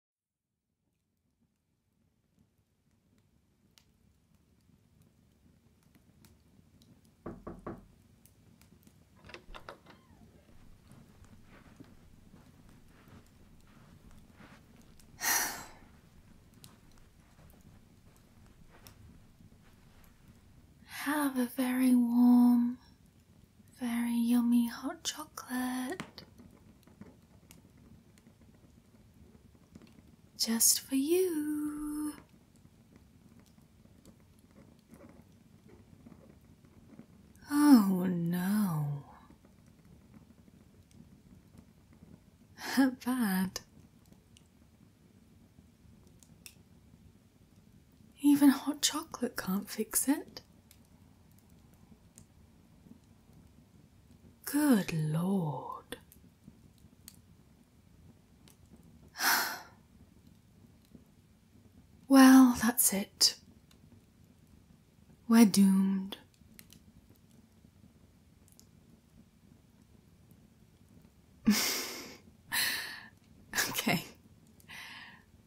Have a very warm, very yummy hot chocolate. Just for you. Oh no. Bad. Even hot chocolate can't fix it. Good Lord. well, that's it. We're doomed. okay.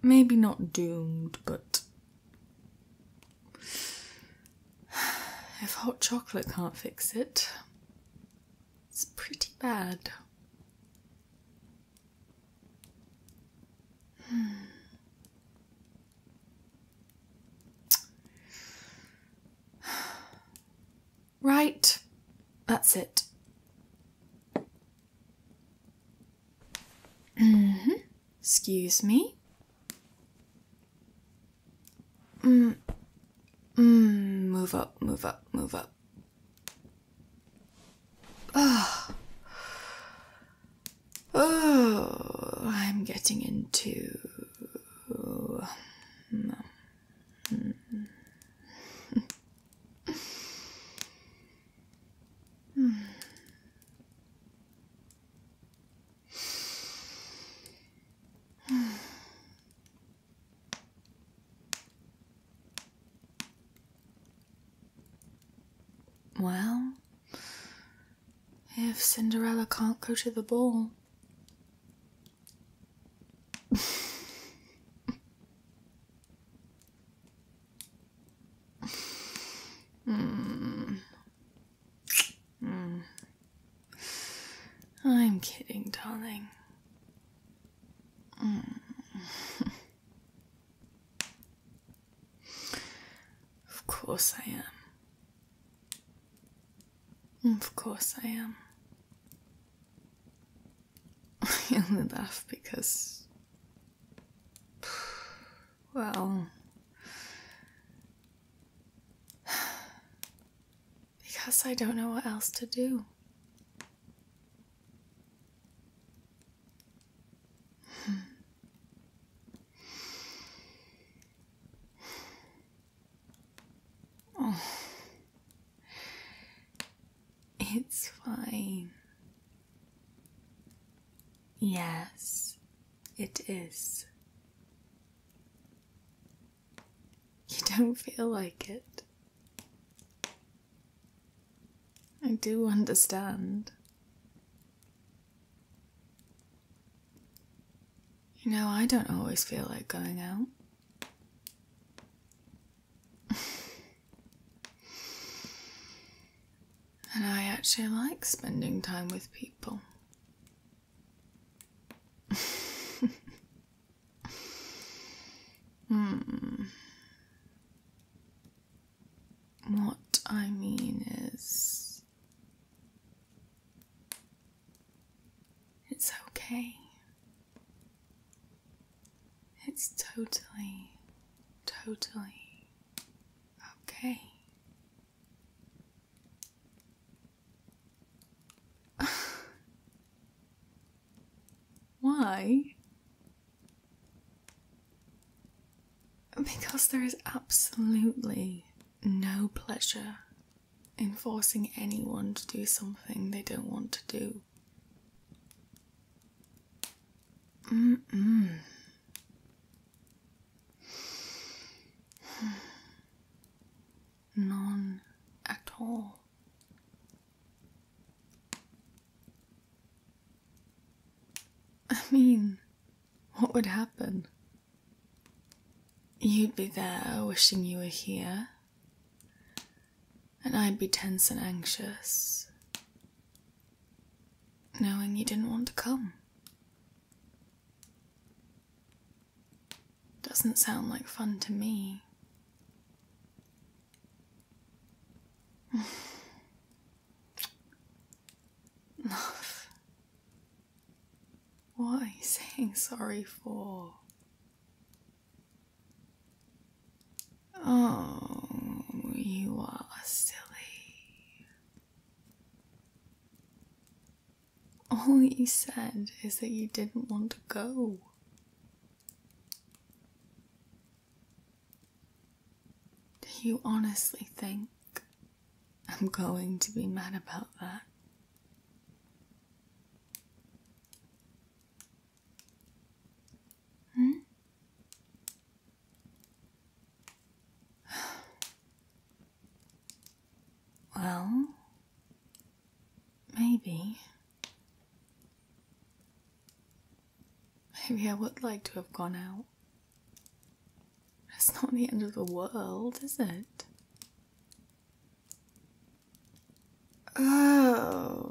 Maybe not doomed, but if hot chocolate can't fix it, it's pretty bad. Hmm. Right, that's it. Mm hmm. Excuse me. Mm. Mm. Move up, move up, move up. Oh. Oh, I'm getting into. Mm-hmm. Hmm. Well, if Cinderella can't go to the ball, Mm. Mm. I'm kidding, darling. Mm. of course I am. Of course I am. I only laugh because Well, because I don't know what else to do. oh. It's fine. Yes, it is. You don't feel like it. I do understand. You know, I don't always feel like going out. And I actually like spending time with people. hmm. What I mean is, it's okay. It's totally, totally okay. Why? Because there is absolutely no pleasure in forcing anyone to do something they don't want to do. Mm None at all. I mean, what would happen? You'd be there wishing you were here and I'd be tense and anxious, knowing you didn't want to come. Doesn't sound like fun to me. Love. What are you saying sorry for? Oh, you are silly. All you said is that you didn't want to go. Do you honestly think I'm going to be mad about that? Hmm? well, maybe. Maybe I would like to have gone out. It's not the end of the world, is it? Oh.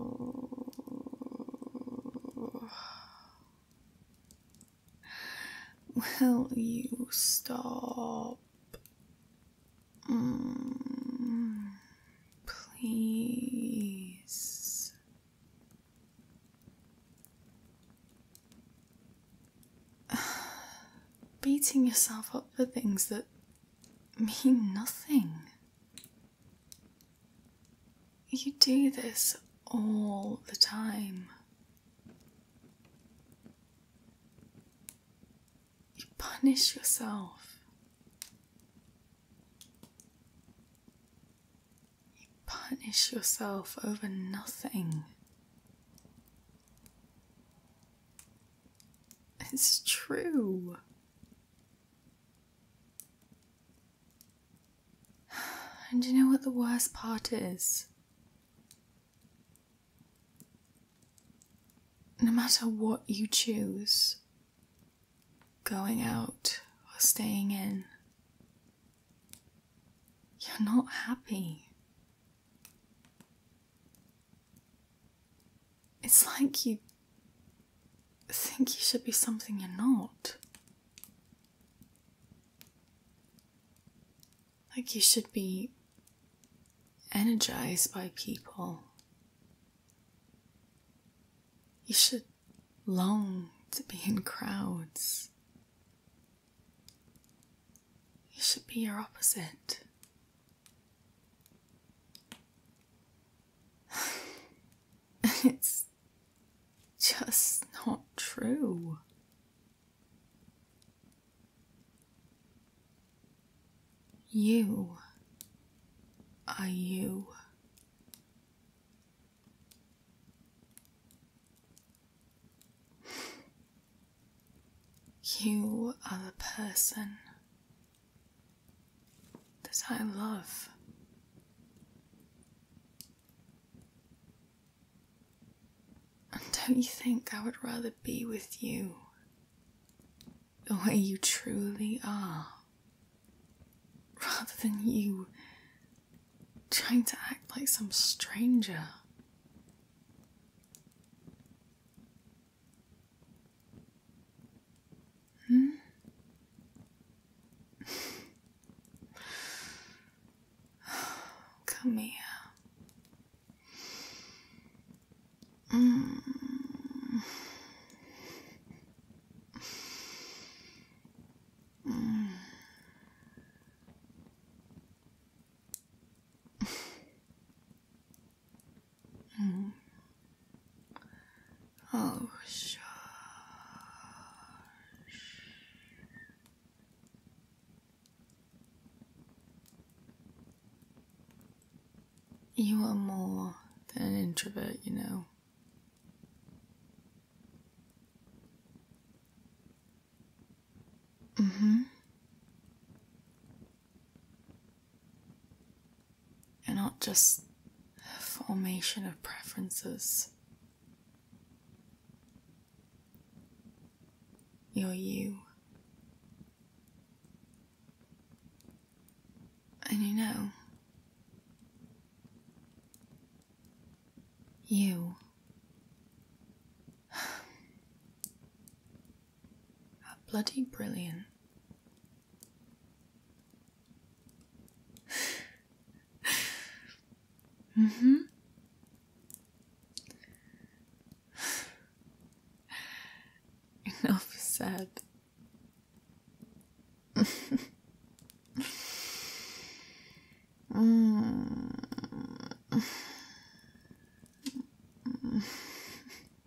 Will you stop? Mm, please. Beating yourself up for things that mean nothing. You do this all the time. You punish yourself. You punish yourself over nothing. It's true. And you know what the worst part is? No matter what you choose, going out or staying in, you're not happy. It's like you think you should be something you're not. Like you should be energized by people. You should long to be in crowds. You should be your opposite. it's just not true. You are you. You are the person I love. And don't you think I would rather be with you the way you truly are rather than you trying to act like some stranger? Hmm? Come here. Mm. Mm. Mm. Oh, shush. You are more than an introvert, you know. Mm hmm and not just a formation of preferences. You're you. And you know, you are bloody brilliant mm-hmm. Enough said. mm.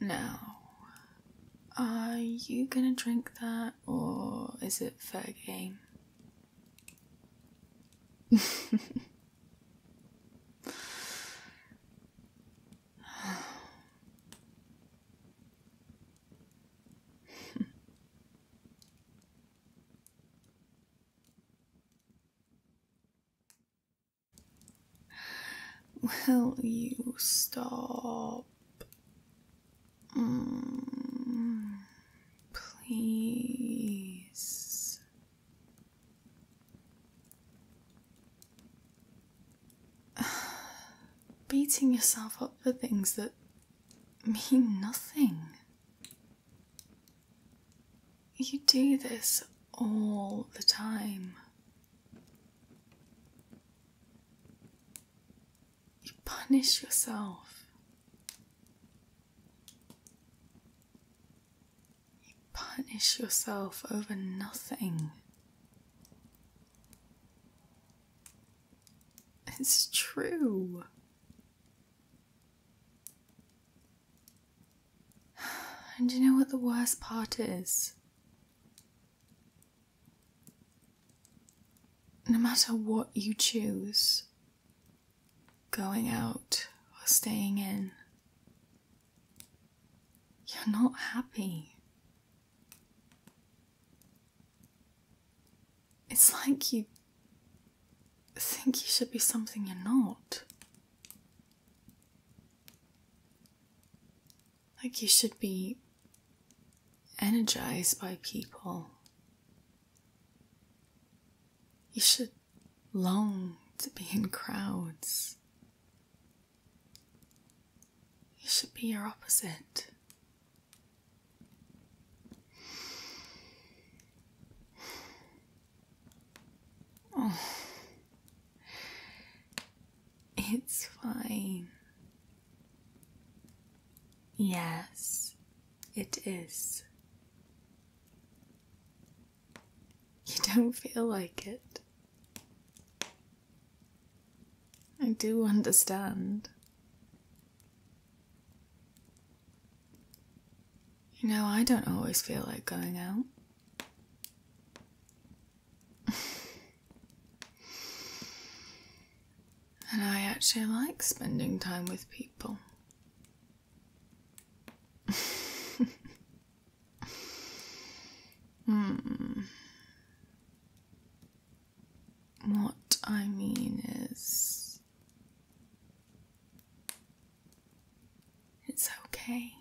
Now, are you gonna drink that or is it for fair game? Will you stop? Mm, please. Beating yourself up for things that mean nothing. You do this all the time. You punish yourself. You punish yourself over nothing. It's true. And you know what the worst part is? No matter what you choose, going out or staying in, you're not happy. It's like you think you should be something you're not. Like, you should be energized by people. You should long to be in crowds. You should be your opposite. Oh. It's fine. Yes, it is. You don't feel like it. I do understand. You know, I don't always feel like going out. and I actually like spending time with people. hmm. What I mean is, it's okay.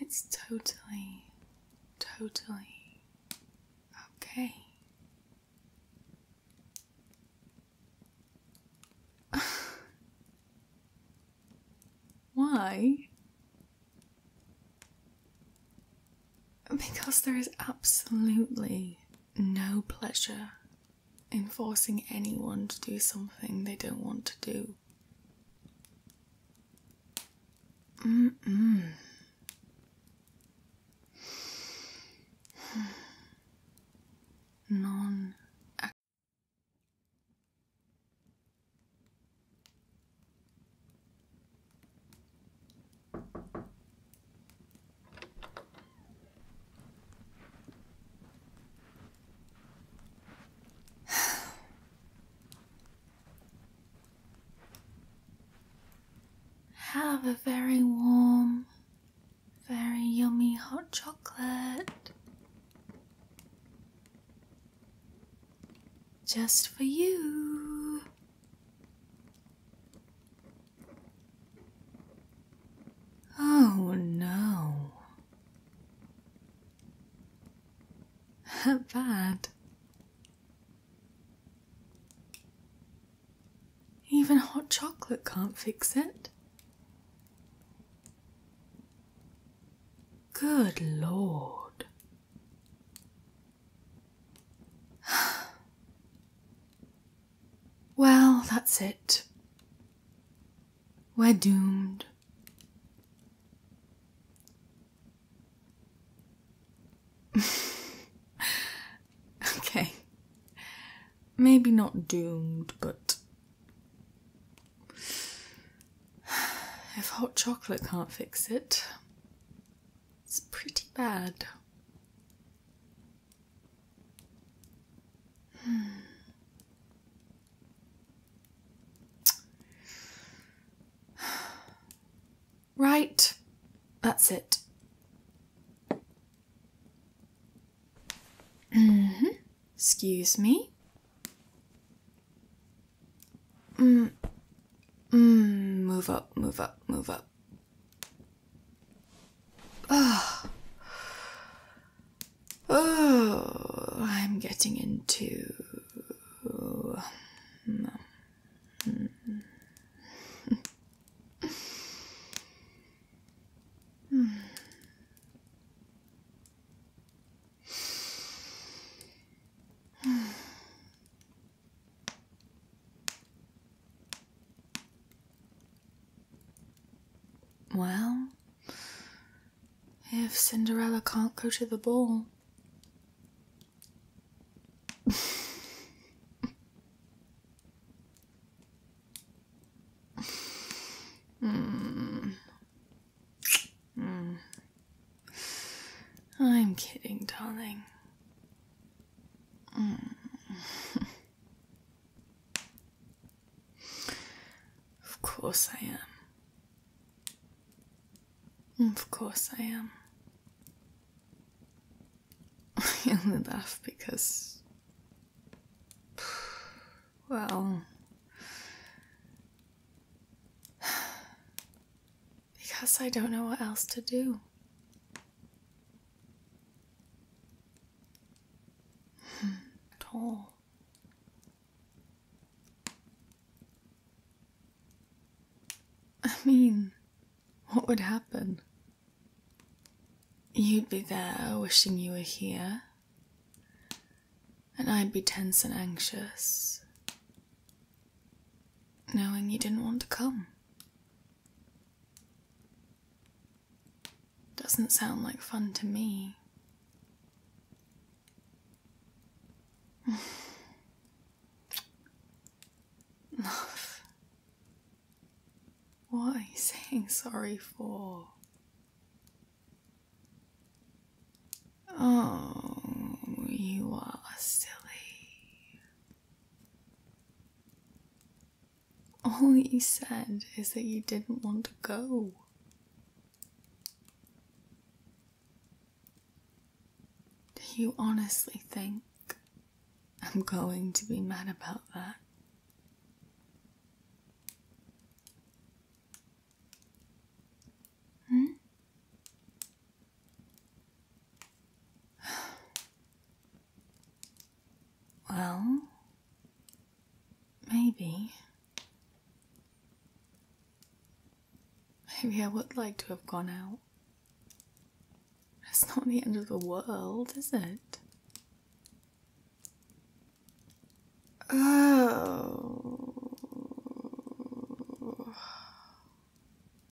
It's totally, totally okay. Why? Because there is absolutely no pleasure Enforcing anyone to do something they don't want to do. Non have a very warm, very yummy hot chocolate just for you. Oh no. How Bad. Even hot chocolate can't fix it. Good lord. Well, that's it. We're doomed. okay. Maybe not doomed, but. If hot chocolate can't fix it, it's pretty bad. Hmm. Right, that's it. Mm-hmm. Excuse me. Mm. Mm, move up, move up, move up. Oh. Oh, I'm getting into. Well, if Cinderella can't go to the ball. mm. Mm. I'm kidding, darling. Mm. of course I am. Of course I am. I only laugh because. Well. Because I don't know what else to do. Hmm, Toll. I mean, what would happen? You'd be there wishing you were here, and I'd be tense and anxious, knowing you didn't want to come. Doesn't sound like fun to me. Love. what are you saying sorry for? Oh, you are silly. All you said is that you didn't want to go. Do you honestly think I'm going to be mad about that? Hmm? well, maybe. Maybe I would like to have gone out. It's not the end of the world, is it? Oh.